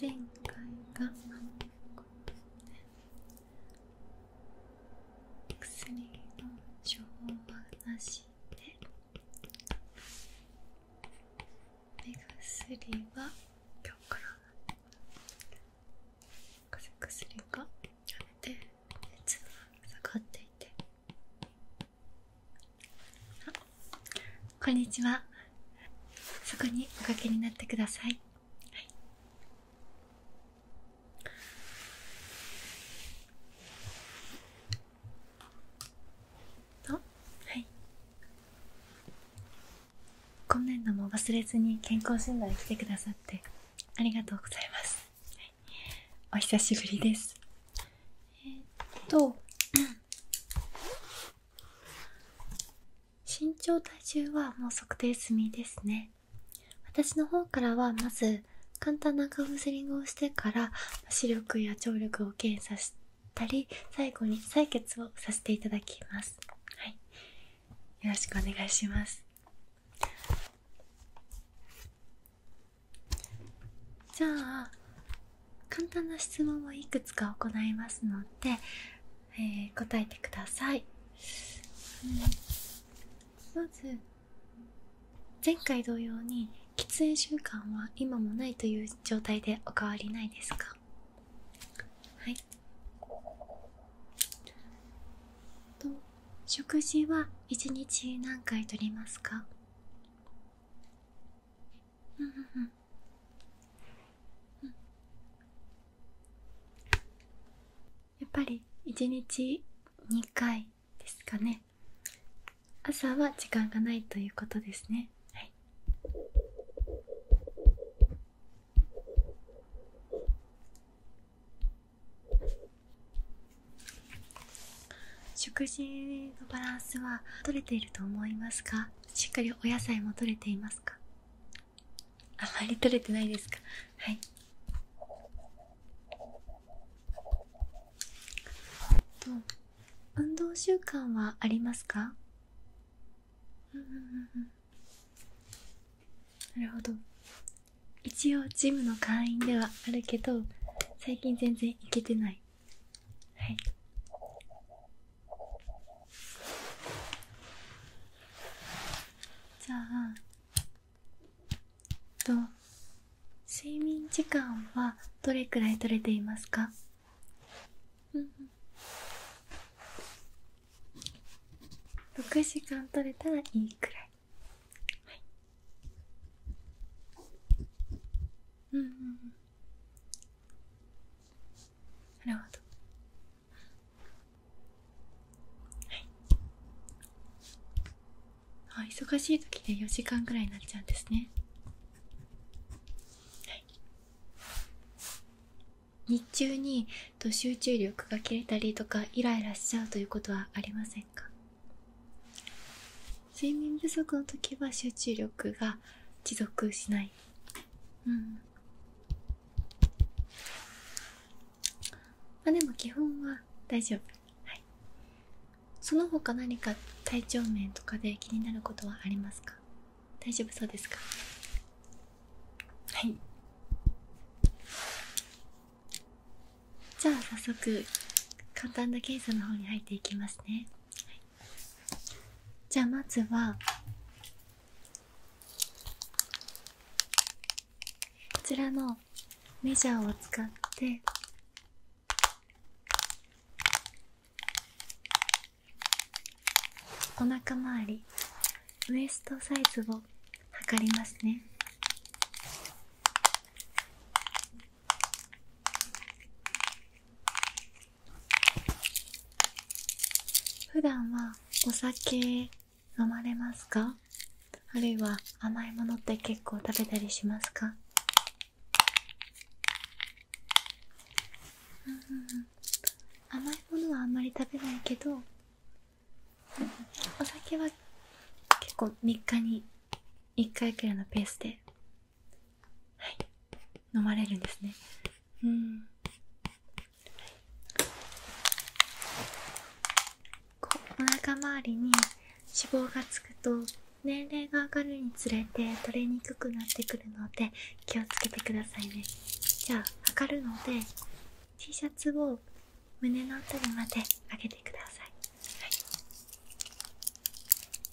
前回が薬の処方なしで目薬は今日から風邪薬がやめて熱が下がっていてあこんにちはそこにおかけになってください、はい、はい今年度も忘れずに健康診断に来てくださってありがとうございます、お久しぶりですえっと身長体重はもう測定済みですね私の方からはまず簡単なカウンセリングをしてから視力や聴力を検査したり最後に採血をさせていただきますはいよろしくお願いしますじゃあ簡単な質問をいくつか行いますので、え答えてください、うまず前回同様に喫煙習慣は今もないという状態でお変わりないですかはいと食事は1日何回とりますかうんうんうんやっぱり1日2回ですかね朝は時間がないということですねはい食事のバランスは取れていると思いますかしっかりお野菜も取れていますかあまり取れてないですか運動習慣はありますかなるほど一応ジムの会員ではあるけど最近全然行けてないはいじゃあと睡眠時間はどれくらい取れていますかうん6時間取れたらいいくらいはいうんうんなるほどはいあ忙しい時で4時間ぐらいになっちゃうんですねはい日中にと集中力が切れたりとかイライラしちゃうということはありませんか睡眠不足の時は集中力が持続しないうんまあでも基本は大丈夫はいその他何か体調面とかで気になることはありますか大丈夫そうですかはいじゃあ早速簡単な検査の方に入っていきますねじゃあまずはこちらのメジャーを使ってお腹周りウエストサイズを測りますね普段はお酒飲まれますかあるいは甘いものって結構食べたりしますかうんうん甘いものはあんまり食べないけど、お酒は結構3日に1回くらいのペースではい飲まれるんですねうんこうお腹周りに脂肪がつくと年齢が上がるにつれて取れにくくなってくるので気をつけてくださいねじゃあ測るので T シャツを胸の辺りまで上げてください、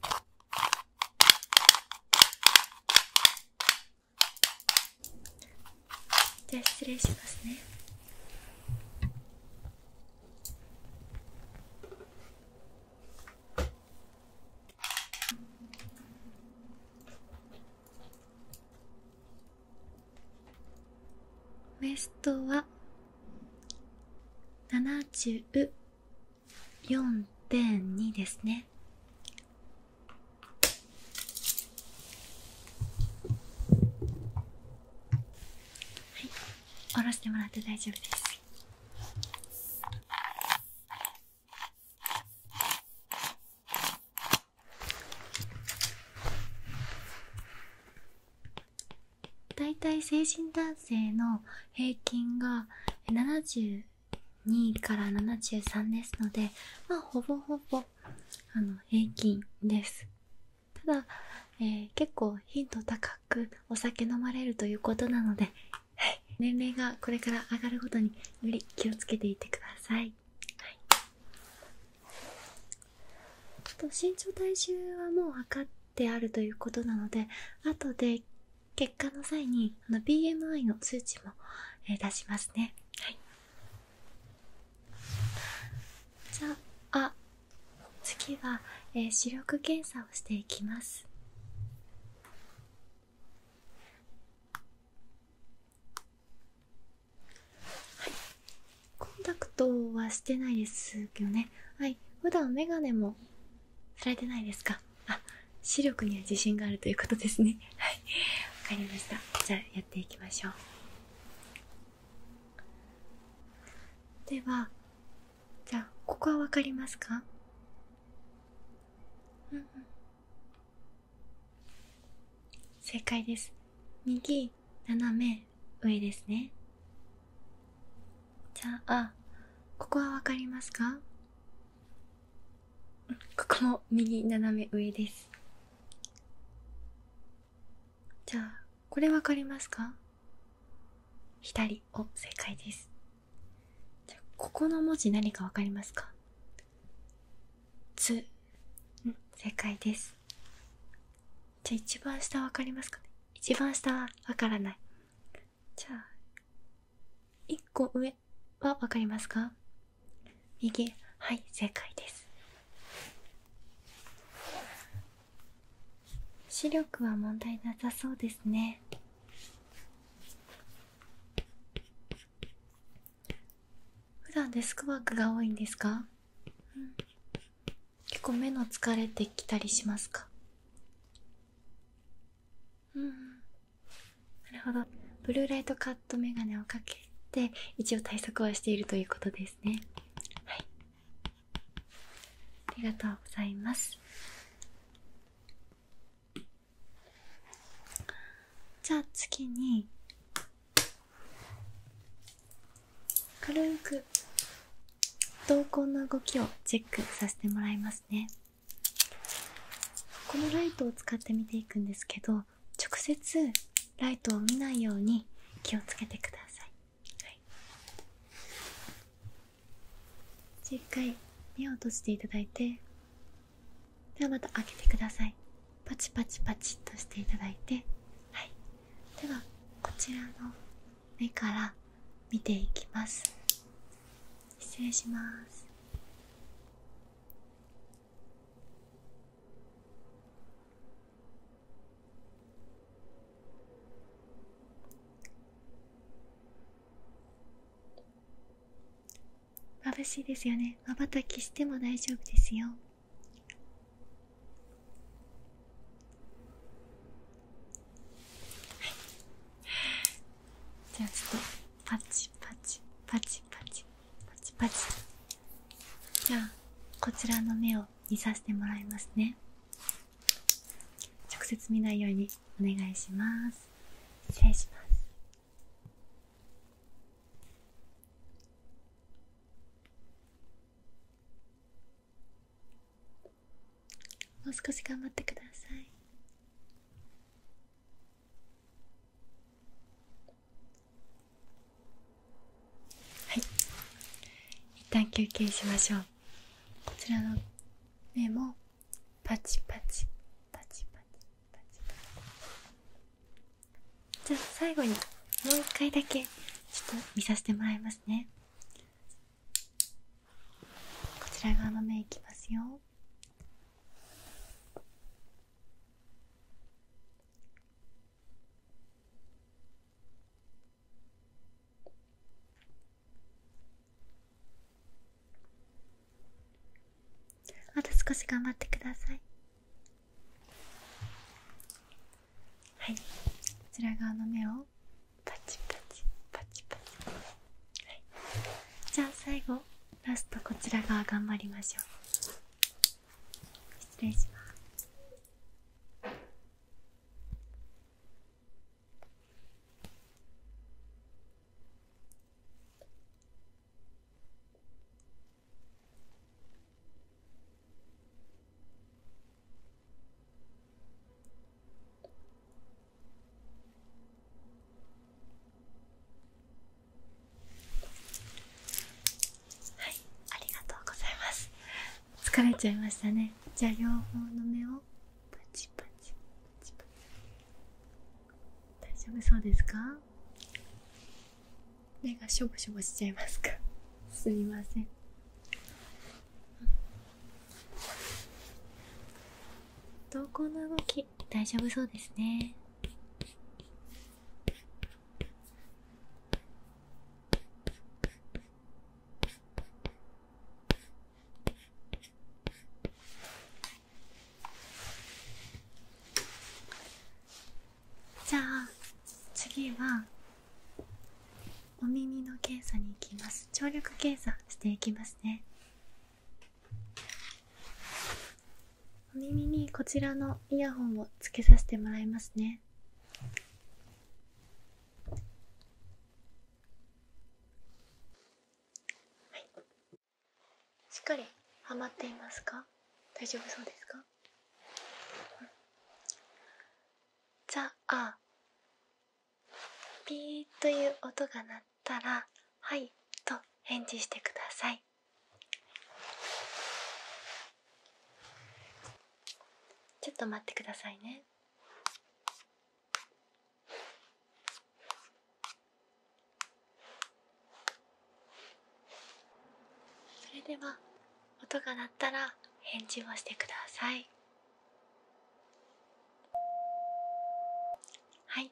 はいじゃあ失礼しますねウエストは70 4.2ですねはい下ろしてもらって大丈夫です大体精神男性の平均が70 2位から73ですので、まあ、ほぼほぼあの平均です。ただ、え結構頻度高くお酒飲まれるということなので、年齢がこれから上がるごとにより気をつけていてください。はい、と身長体重はもう測ってあるということなので後で結果の際にあの BMI の数値も、えー、出しますねじゃあ次は、えー、視力検査をしていきますはいコンタクトはしてないですけどねはい普段メガもされてないですかあ視力には自信があるということですね わかりましたじゃあやっていきましょうではじゃあここはわかりますかうんうん正解です右斜め上ですねじゃあここはわかりますかここも右斜め上ですじゃあこれ分かりますか左を正解ですじゃあここの文字何か分かりますかつうん正解ですじゃあ一番下分かりますかね一番下はわからないじゃあ個上は分かりますか右はい正解です視力は問題なさそうですね普段デスクワークが多いんですか、結構目の疲れてきたりしますかうんなるほどブルーライトカットメガネをかけて一応対策はしているということですねはいありがとうございますじゃあ次に軽く瞳孔の動きをチェックさせてもらいますねこのライトを使って見ていくんですけど直接ライトを見ないように気をつけてください、はい、じゃあ一回目を閉じていただいてではまた開けてくださいパチパチパチっとしていただいてはいではこちらの目から見ていきます失礼します眩しいですよねまばたきしても大丈夫ですよじゃあちょっとパチパチパチパチパチパチじゃあこちらの目を見させてもらいますね直接見ないようにお願いします失礼しますもう少し頑張ってくださいはい一旦休憩しましょうこちらの目もパチパチじゃあ最後にもう一回だけちょっと見させてもらいますねこちら側の目いきますよよあ少し頑張ってくださいはいこちら側の目をパチパチパチパチ、はい、じゃあ最後ラストこちら側頑張りましょう失礼しますはいありがとうございます疲れちゃいましたねじゃあ両方の目を大丈夫そうですか目がしょぼしょぼしちゃいますかすみません瞳孔の動き大丈夫そうですねじゃあ次はお耳の検査に行きます聴力検査していきますねお耳にこちらのイヤホンをつけさせてもらいますねはいしっかりハマっていますか大丈夫そうですか、じゃあピーという音が鳴たら「はい」と返事してくださいちょっと待ってくださいねそれでは音が鳴ったら返事をしてくださいはい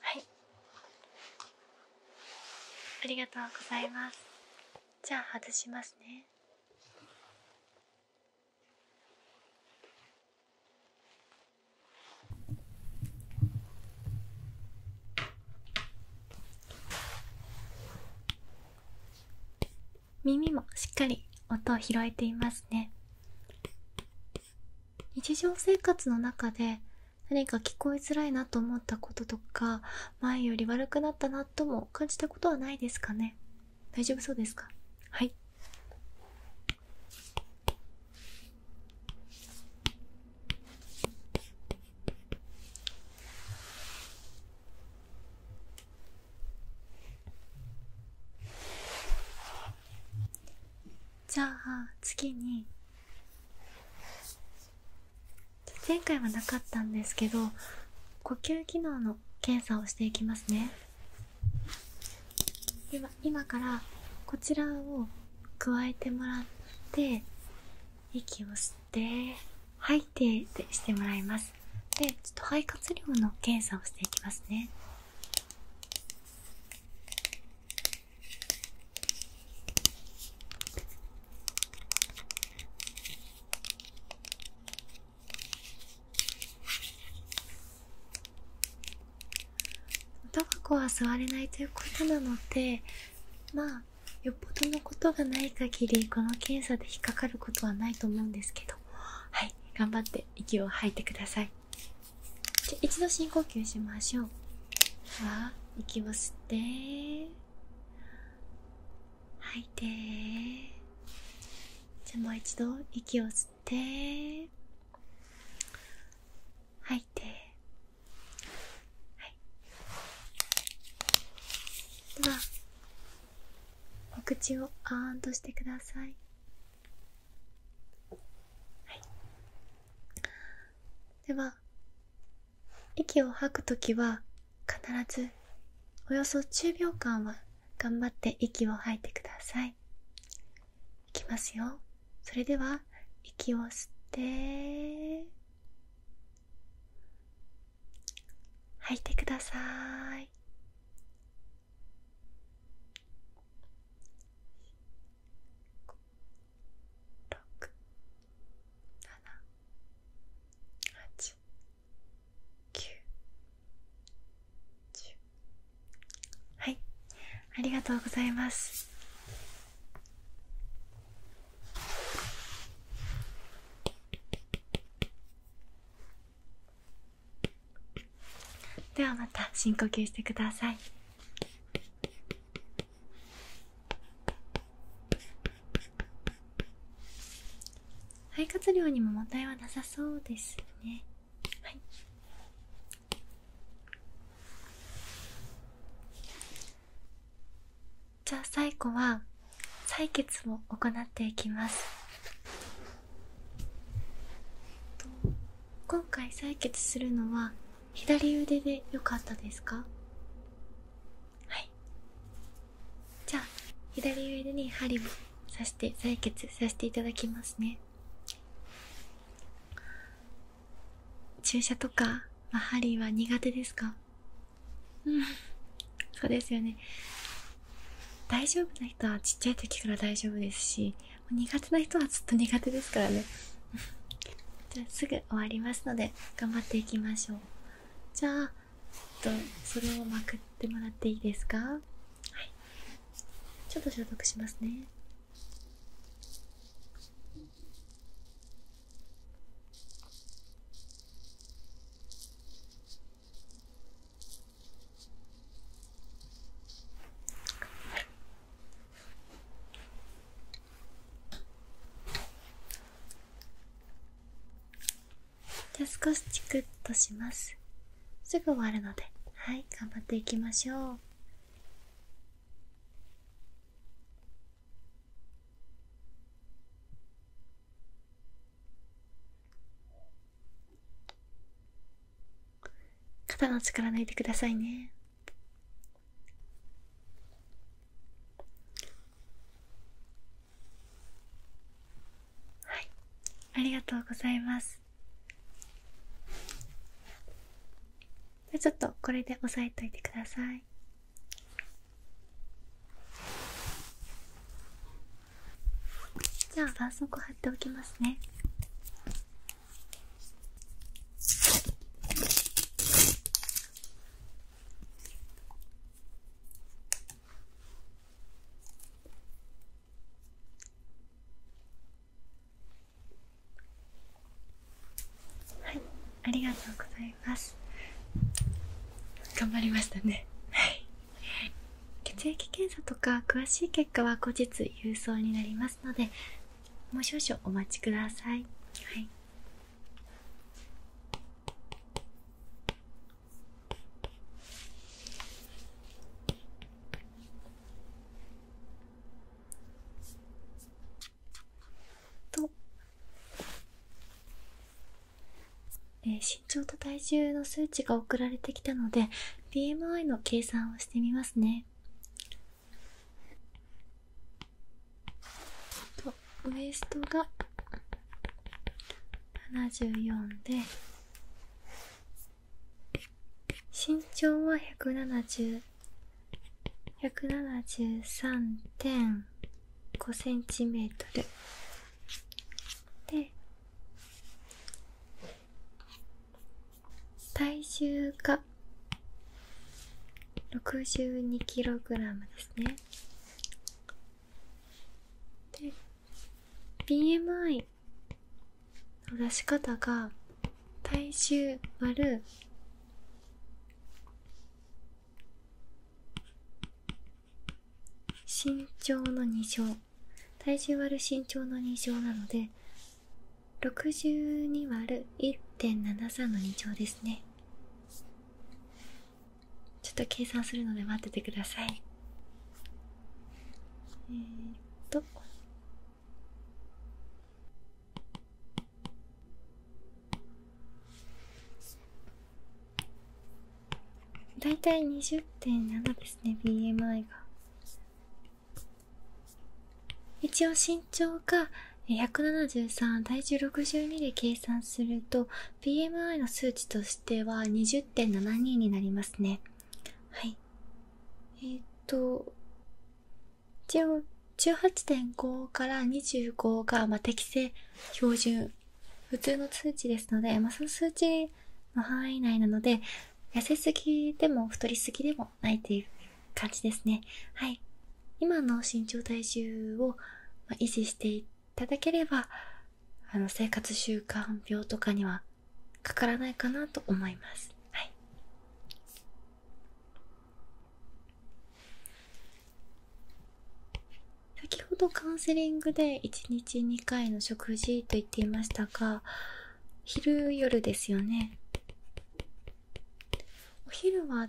はいありがとうございますじゃあ外しますね耳もしっかり音を拾えていますね日常生活の中で何か聞こえづらいなと思ったこととか前より悪くなったなとも感じたことはないですかね大丈夫そうですかはいじゃあ次に前回はなかったんですけど呼吸機能の検査をしていきますねでは今からこちらを加えてもらって息を吸って吐いてでしてもらいますでちょっと肺活量の検査をしていきますねタバコは吸われないということなのでまあよっぽどのことがない限りこの検査で引っかかることはないと思うんですけどはい頑張って息を吐いてくださいじゃ一度深呼吸しましょうはきます。し吐いてじゃもう一度息を吸って吐いてはいではお口をあんとしてくださいでは息を吐くときは必ずおよそ10秒間は頑張って息を吐いてくださいいきますよそれでは息を吸って吐いてください六、七、八、九、十はい、ありがとうございます。ではまた深呼吸してください。肺活量にも問題はなさそうですねじゃあ最後は採血を行っていきます今回採血するのは左腕でよかったですかはいじゃあ左腕に針を刺して採血させていただきますね注射とか、まあ、針は苦手ですかうんそうですよね大丈夫な人はちっちゃい時から大丈夫ですし苦手な人はずっと苦手ですからね じゃあすぐ終わりますので頑張っていきましょうじゃあとそれをまくってもらっていいですかはいちょっと消毒しますねじゃ少しチクッとしますすぐ終わるのではい頑張っていきましょう肩の力抜いてくださいねはいありがとうございますちょっとこれで押さえといてくださいじゃあ絆創膏貼っておきますねはいありがとうございます頑張りましたね血液検査とか詳しい結果は後日郵送になりますのでもう少々お待ちくださいはいえ身長と体重の数値が送られてきたので BMI の計算をしてみますねとウエストが74で身長は173.5センチメートルで体重が 62kg ですねで BMI の出し方が体重割る身長の2乗体重割る身長の2乗なので 62÷1.73 の2兆ですねちょっと計算するので待っててくださいえっと大体たい20.7ですね BMI が一応身長が173体重62で計算すると BMI の数値としては20.72になりますねはいえっと一応18.5から25が、まあ、適正標準普通の数値ですので、まあ、その数値の範囲内なので痩せすぎでも太りすぎでもないっていう感じですねはい今の身長体重を維持していただければあの生活習慣病とかにはかからないかなと思います。先ほどカウンセリングで1日2回の食事と言っていましたが昼夜ですよね。お昼は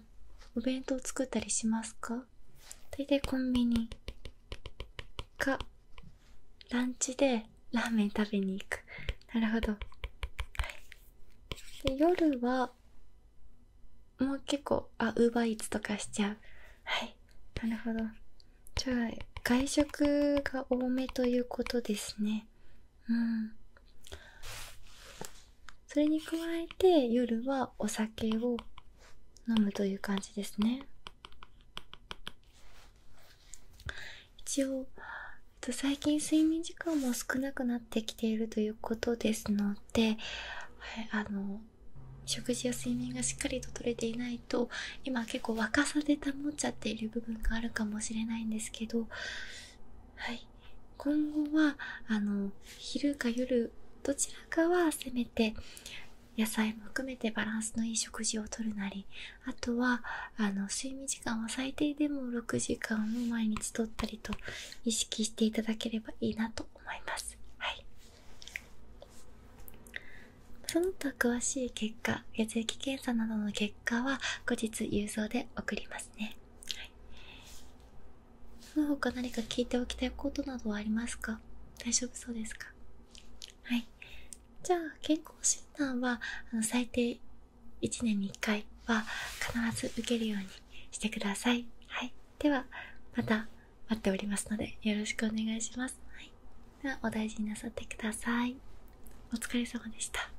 お弁当作ったりしますか大体コンビニかランチでラーメン食べに行くなるほど、で夜はもう結構あウーバーイーツとかしちゃうはいなるほどじゃあ外食が多めということですねうんそれに加えて夜はお酒を飲むという感じですね一応最近睡眠時間も少なくなってきているということですので、はい、あの食事や睡眠がしっかりと取れていないと今結構若さで保っちゃっている部分があるかもしれないんですけどはい今後はあの昼か夜どちらかはせめて野菜も含めてバランスのいい食事をとるなりあとはあの睡眠時間は最低でも6時間を毎日とったりと意識していただければいいなと思います。はい、その他詳しい結果血液検査などの結果は後日郵送で送りますね。その他何か聞いておきたいことなどはありますか大丈夫そうですかはい。じゃあ、健康診断は、最低1年に1回は必ず受けるようにしてください。はい。では、また待っておりますので、よろしくお願いします。はい。では、お大事になさってください。お疲れ様でした。